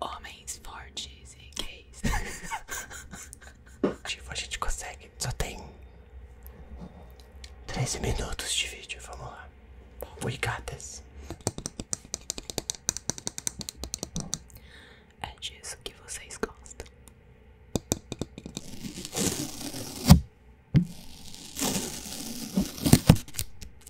Homens fortes e gays. Tipo, a gente consegue. Só tem treze minutos de vídeo. Vamos lá. We got É disso que vocês gostam.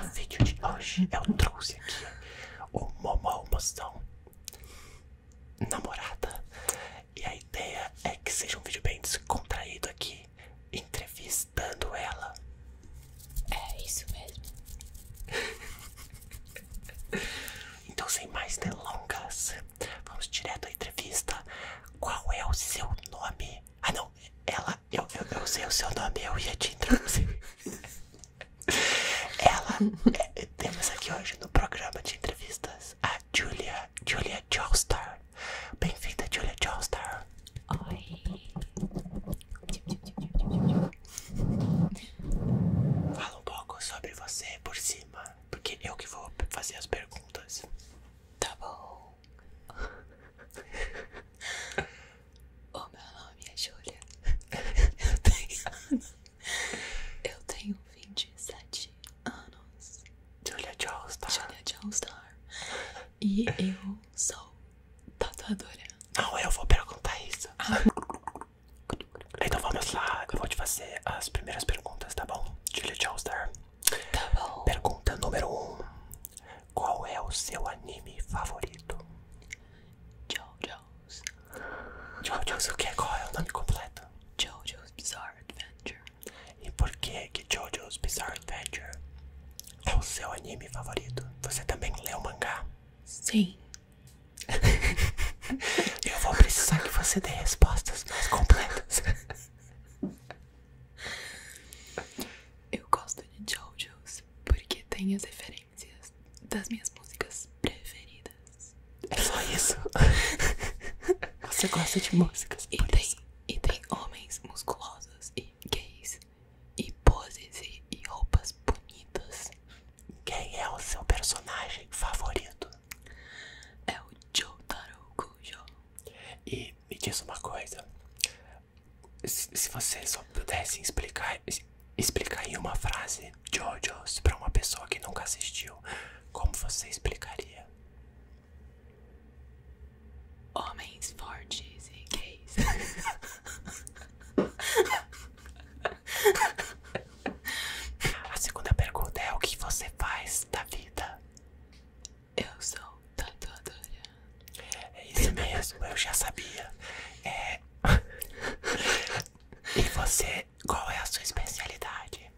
No vídeo de hoje eu trouxe aqui momo almoção namorada e a ideia é que seja um vídeo bem descontraído aqui entrevistando ela. É isso mesmo. então sem mais delongas, vamos direto à entrevista. Qual é o seu nome? Ah não, ela eu, eu, eu sei o seu nome, eu ia te introduzir. Ela, é, temos aqui hoje no programa de entrevistas a Julia, Julia Joestar. Bem-vinda, Julia Joestar. Oi. Fala um pouco sobre você por cima, porque eu que vou fazer as perguntas. Tá bom. O meu nome é Júlia. Eu tenho. Eu tenho 27 anos. Julia Joestar. Julia Joestar. E eu sou tatuadora. Não, eu vou perguntar isso. Ah. Então vamos lá. Eu vou te fazer as primeiras perguntas, tá bom? Julia Joestar. Pergunta número 1: um. Qual é o seu anime favorito? JoJo's. JoJo's, o que? Qual é o nome completo? JoJo's Bizarre Adventure. E por que que JoJo's Bizarre Adventure é o seu anime favorito? Você também lê o mangá? Sim. Eu vou precisar que você dê respostas mais completas. Eu gosto de JoJo's porque tem as referências das minhas músicas preferidas. É só isso. Você gosta de músicas. E tem, e tem homens musculosos e gays. E poses e, e roupas bonitas. Quem é o seu personagem favorito? É o Jotaro Kujo. E me diz uma coisa: se, você só pudesse explicar, explicar em uma frase JoJo's para uma pessoa que nunca assistiu, como você explicaria? Homens fortes e gays. A segunda pergunta é: o que você faz da vida? Eu sou tatuadora. É isso mesmo, eu já sabia. É. e você, qual é a sua especialidade?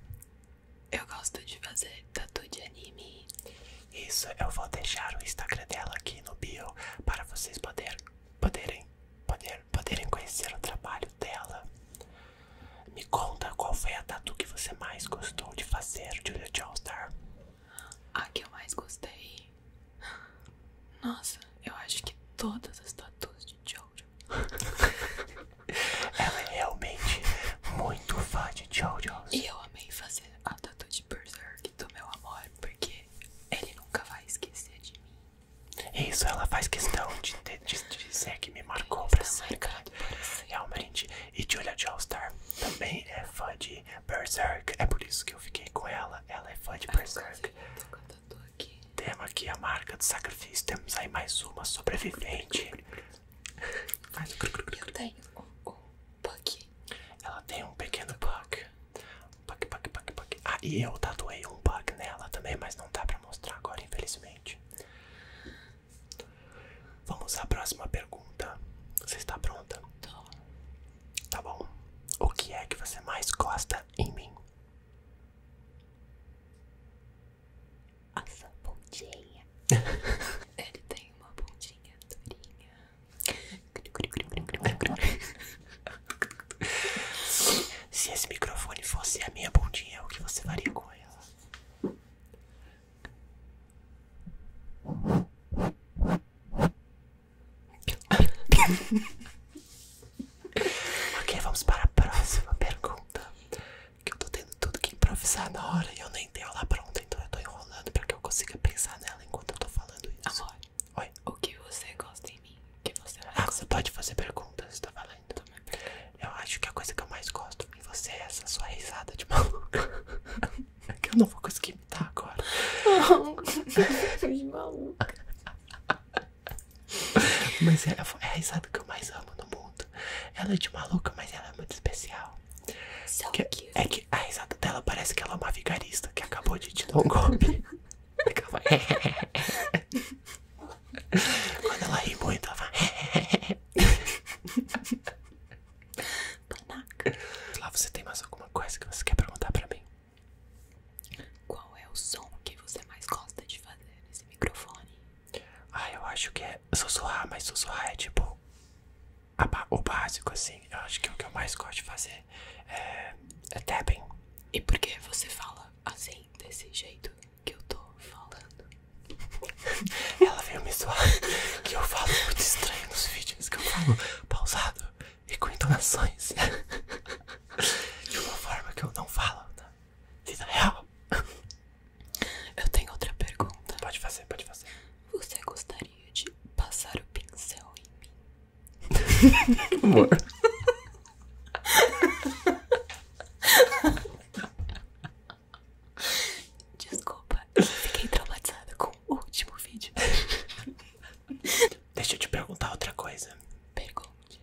Eu gosto de fazer tatu de anime. Isso, eu vou deixar o Instagram dela aqui no bio para vocês poder, poderem, poder, poderem conhecer o trabalho dela. Me conta qual foi a tatu que você mais gostou de fazer, Juliana de All Star. A que eu mais gostei. Nossa, eu acho que todas as tatuas de Jojo. Ela é realmente muito fã de Jojo. E eu amei fazer a tatu de Berserk do meu amor, porque ele nunca vai esquecer de mim. Isso, ela faz questão de, dizer que me marcou ele pra tá sempre. Realmente. E de olhar de All Star também é fã de Berserk. É por isso que eu fiquei com ela. Ela é fã de ah, Berserk. Então, aqui. Temos aqui a marca do sacrifício. Temos aí mais uma sobrevivente. Eu tenho um, um bug. Ela tem um pequeno bug. Bug, bug, bug, bug. Ah, e eu tatuei um bug nela também, mas não dá pra mostrar agora, infelizmente. Vamos à próxima pergunta. Você está pronta? Tô. Tá bom. O que é que você mais gosta em mim? Essa pontinha. Ele tem uma pontinha durinha. Se esse microfone fosse a minha pontinha, o que você faria com ela? ok, vamos para a próxima pergunta. Que eu tô tendo tudo que improvisar na hora e eu nem tenho ela pronta, então eu tô enrolando pra que eu consiga pensar nela enquanto eu tô falando isso. Amor, Oi? o que você gosta em mim? você ah, você pode fazer perguntas, tá valendo. Eu acho que a coisa que eu mais gosto em você é essa sua risada de maluca. que eu não vou conseguir imitar agora. de maluca. Mas é, é, a risada que eu mais amo no mundo. Ela é de maluca, mas ela é muito especial. So que, é, é que a risada dela parece que ela é uma vigarista que acabou de te dar um golpe. Quando ela ri muito, ela fala. Tanaka. Lá você tem mais alguma coisa que você quer perguntar pra mim? Qual é o som que você mais gosta de fazer nesse microfone? Ah, eu acho que é sussurrar, mas sussurrar é tipo o básico, assim. Eu acho que o que eu mais gosto de fazer é, é E por que você fala assim, desse jeito? que eu tô falando. Ela veio me zoar que eu falo muito estranho nos vídeos, que eu falo pausado e com entonações de uma forma que eu não falo na tá? vida real. Eu tenho outra pergunta. Pode fazer, pode fazer. Você gostaria de passar o pincel em mim? Amor. Desculpa, fiquei traumatizada com o último vídeo. Deixa eu te perguntar outra coisa. Pergunte.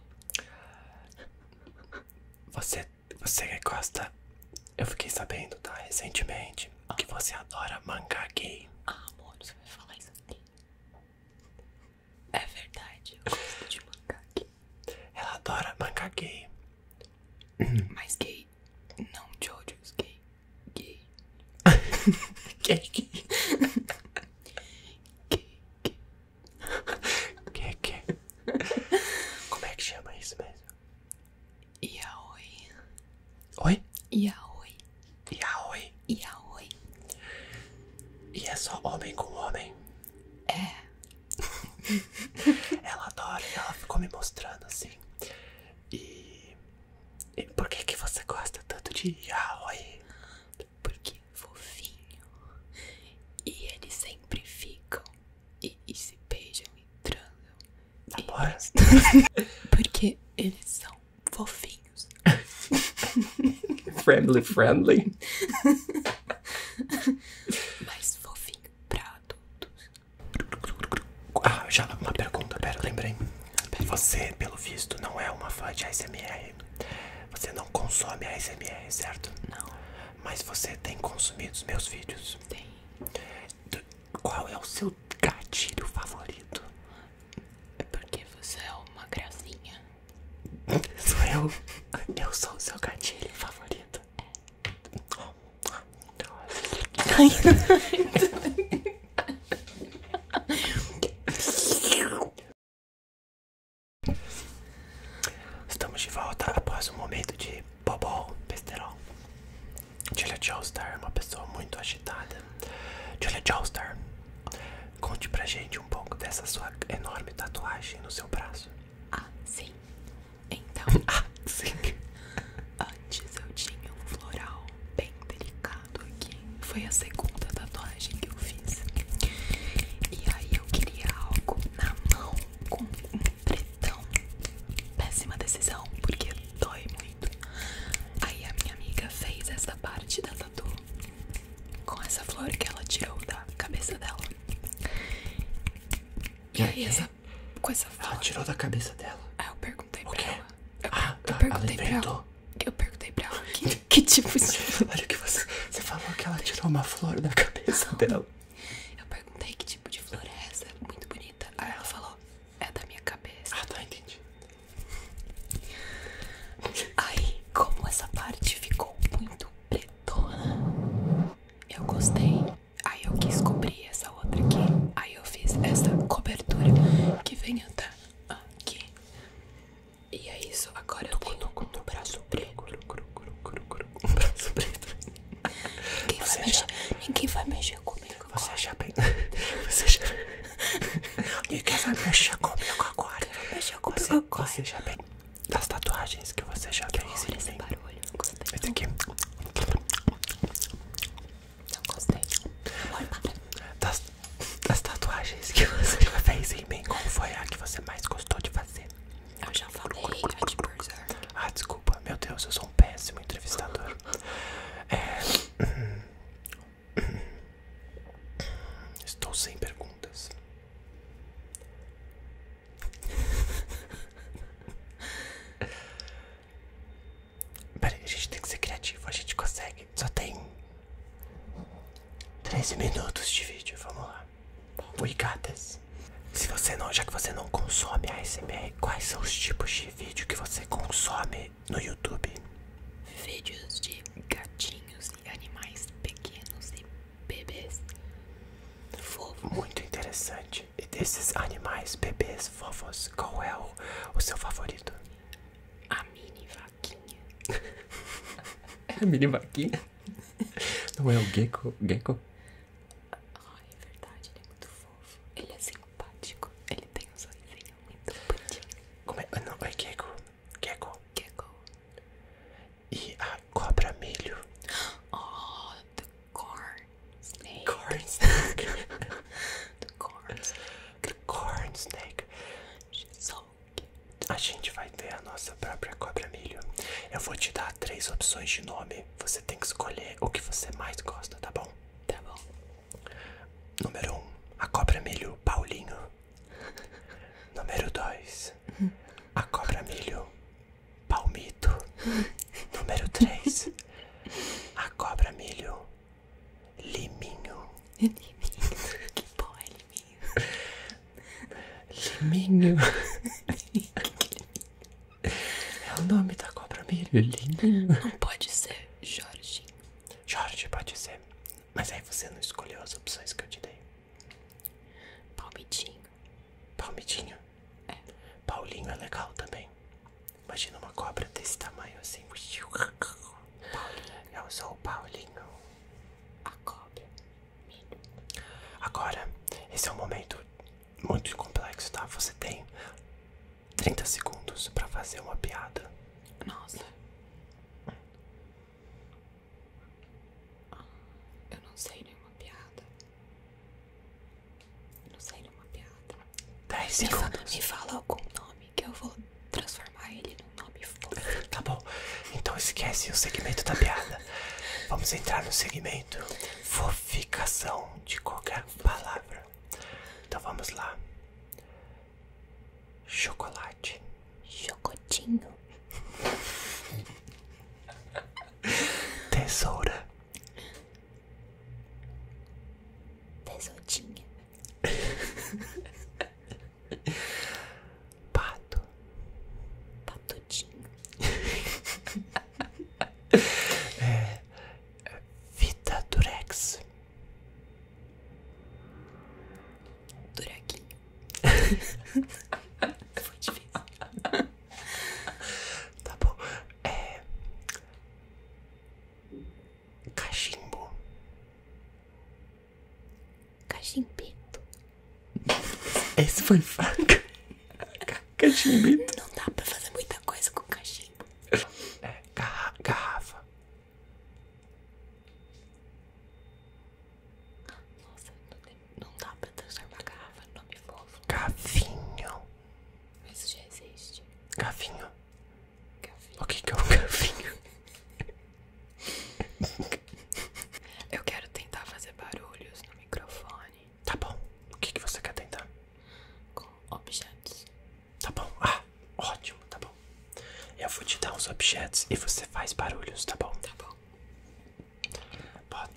Você, você gosta? Eu fiquei sabendo, tá? Recentemente que você adora mangá gay. Ah, amor, você vai falar isso aqui. É verdade, eu gosto de mangá gay. Ela adora mangá gay. Mas gay, não de gay. Gay. gay, gay. gay, gay. Que, que? Como é que chama isso mesmo? Yaoi. Oi? Yaoi. Yaoi. Yaoi. E é só homem com homem. É. ela adora ela ficou me mostrando assim. E, e por que, que você gosta tanto de Yaoi? Porque é fofinho. E eles sempre ficam e, se beijam e transam. Namora? Tá Porque eles são fofinhos. friendly, friendly. Mas vou vir pra adultos. Ah, já uma pergunta, pera, lembrei. Você, pelo visto, não é uma fã de ASMR. Você não consome ASMR, certo? Não. Mas você tem consumido os meus vídeos? Tem. Qual é o seu gatilho favorito? É porque você é uma gracinha. Sou eu. Eu sou o seu gatilho favorito. Estamos de volta após um momento de bobol, besterol. Julia Joestar é uma pessoa muito agitada. Julia Joestar, conte pra gente um pouco dessa sua enorme tatuagem no seu braço. Ah, sim. Então, ah, antes eu tinha um floral bem delicado aqui. Foi a segunda tatuagem que eu fiz. E aí eu queria algo na mão com um pretão. Péssima decisão, porque dói muito. Aí a minha amiga fez essa parte da com essa flor que ela tirou da cabeça dela. E aí, essa, com essa flor. Ela tirou da cabeça dela? Ah, eu perguntei pra ela. Eu, ah, eu ela inventou. Eu perguntei pra ela que, tipo de. flor o que você. falou que ela tirou uma flor da cabeça dela. Eu perguntei que tipo de flor é essa, muito bonita. Aí ela falou, é da minha cabeça. Ah, tá, entendi. Aí, como essa parte ficou muito muito pretona. Eu gostei. Aí eu quis cobrir essa outra aqui. Aí eu fiz essa cobertura que vem até aqui. E é isso. Agora eu tenho um braço preto. Um braço preto. Ninguém, vai mexer, ninguém vai mexer comigo Você agora. já bem. Você já. bem Ninguém vai mexer comigo agora. Você já bem das tatuagens que você já fez. das, tatuagens que você fez em mim, qual foi a que você mais gostou de fazer? Eu já falei a de Berserk. Ah, desculpa. Meu Deus, eu sou um péssimo entrevistador. É... Estou sem perguntas. Peraí, a gente tem que ser criativo, a gente consegue. Só tem 13 minutos de vídeo, vamos lá. Oi, gatas. Se você não, já que você não consome ASMR, quais são os tipos de vídeo que você consome no YouTube? Vídeos de gatinhos animais pequenos e bebês fofos. Muito interessante. E desses animais, bebês, fofos, qual é o, seu favorito? A mini vaquinha. a mini vaquinha? Não é o gecko? gecko? Ai, é verdade, ele é muito fofo. Ele é simpático. Ele tem um sorrisinho muito bonitinho. É? Ah, não, é gecko. Gecko. Gecko. E a cobra milho. Oh, the corn snake. Corn the corn snake. The corn snake. She's so cute. A gente vai ter a nossa própria cobra milho. Eu vou te dar três opções de nome. Você tem que escolher o que você mais gosta, tá bom? Tá bom. Número 1, um, a cobra milho Paulinho. Número 2. A cobra milho palmito. Número 3. A cobra milho liminho. Liminho. Que porra é liminho? Liminho. É o nome da cobra milho, liminho. Não pode ser Jorge. Jorge pode ser. Mas aí você não escolheu as opções que eu te dei. Palmitinho. Palmitinho? É. Paulinho é legal também. Imagina uma cobra desse tamanho assim. Paulinho. Eu sou o Paulinho. A cobra. Medo. Agora, esse é um momento muito complexo, tá? Você tem 30 segundos pra fazer uma piada. Nossa. Eu não sei nenhuma piada. Eu não sei nenhuma piada. 10 segundos. Me fala, me fala algum nome que eu vou transformar ele num nome fofo. Tá bom. Então esquece o segmento da piada. Vamos entrar no segmento foficação de qualquer palavra. Então vamos lá. Chocolate. Chocotinho. Tesoura. Tesourinha. Pato. Patotinho. é, Vita é, Durex. Duraquinho. Foi difícil. Tá bom. Cachimbo. É, cachimbo. Cachimbito. Esse foi faca. Cachimbito. Não dá pra fazer muita coisa com cachimbo. É, é garrafa. Nossa, não, tem, não dá pra transformar garrafa não me fofo. Gavinho. Isso já existe. Gavinho. gavinho. O que, que é um gavinho? Eu quero tentar fazer barulhos no microfone. Tá bom. O que, que você quer tentar? Com objetos. Tá bom? Ah, ótimo, tá bom. Eu vou te dar uns objetos e você faz barulhos, tá bom? Tá bom.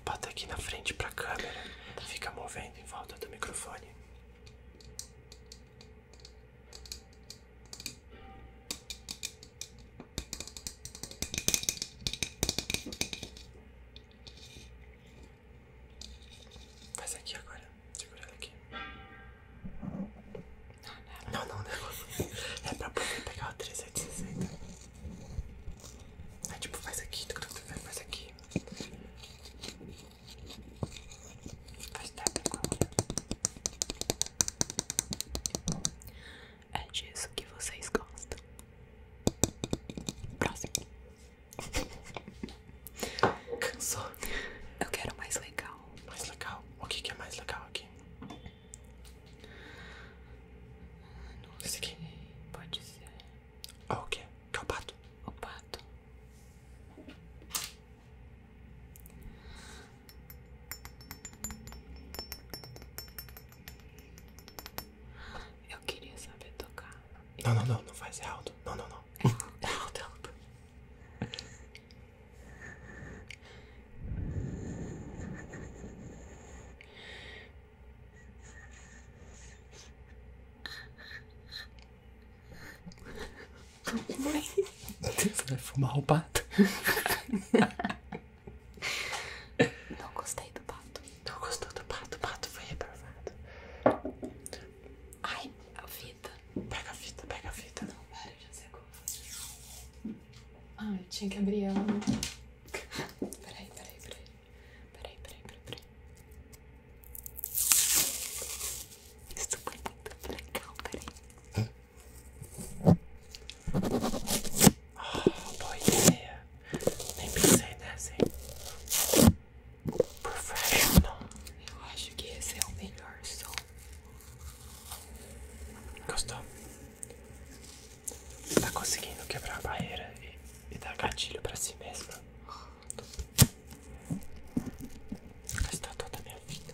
Bota, aqui na frente pra câmera. Tá. Fica movendo em volta do microfone. Faz aqui agora. Segura ela aqui. Não, não, não. É pra poder pegar o 3760. Aí é, tipo, faz aqui, faz aqui. Faz tap É disso que vocês gostam. Próximo. Cansou. Eu quero mais legal. Mais legal? O que, que é mais legal aqui? Não Esse aqui? Pode ser. Ah, o que? Que é o pato? O pato. Eu queria saber tocar. Não, não, não, não faz, é alto. Não, não, não. É alto, é alto. Mãe. Você vai fumar o pato? Não gostei do pato. Não gostou do pato? O pato foi reprovado. Ai, a vida. Pega a fita, pega a fita. Não, para, já sei como Ah, tinha que abrir ela, né? Peraí, peraí, peraí. Peraí, peraí, peraí, peraí. Isso foi muito legal, peraí. Ah, boa ideia. Nem pensei nessa, hein? Professional. Eu acho que esse é o melhor som. Gostou? Tá conseguindo quebrar a barreira e, dar gatilho pra si mesmo. Gostou toda a minha vida.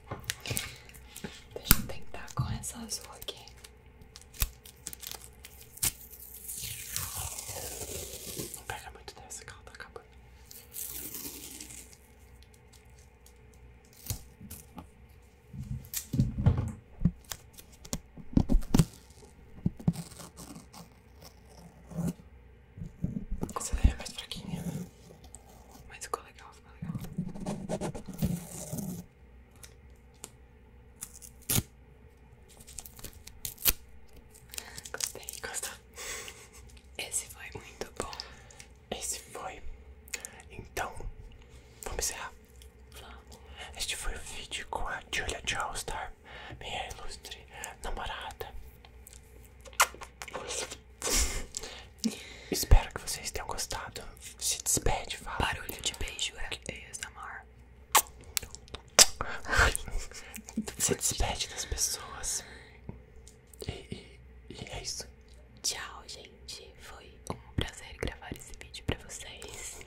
Deixa eu tentar com essa azul aqui. Não pega muito dessa que ela tá acabando. Essa daí é mais fraquinha, né? Mas ficou legal, ficou legal. Gostei. Gostou? Esse foi muito bom. Esse foi. Então, vamos encerrar. Vamos. Este foi o vídeo com a Julia Joestar, minha ilustre namorada. Espero que vocês tenham gostado. Se despede, fala. Barulho de beijo é ASMR. Se despede das pessoas. E, e é isso. Tchau, gente. Foi um prazer gravar esse vídeo pra vocês.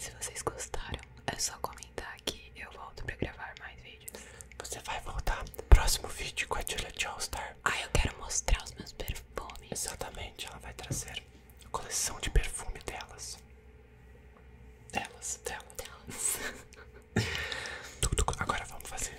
Se vocês gostaram, é só comentar que eu volto pra gravar mais vídeos. Você vai voltar? próximo vídeo com a Julia Joestar. Ah, eu quero mostrar os meus perfumes. Exatamente, ela vai trazer a coleção de perfume delas. Delas, delas. delas. Agora vamos fazer.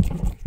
Tchau.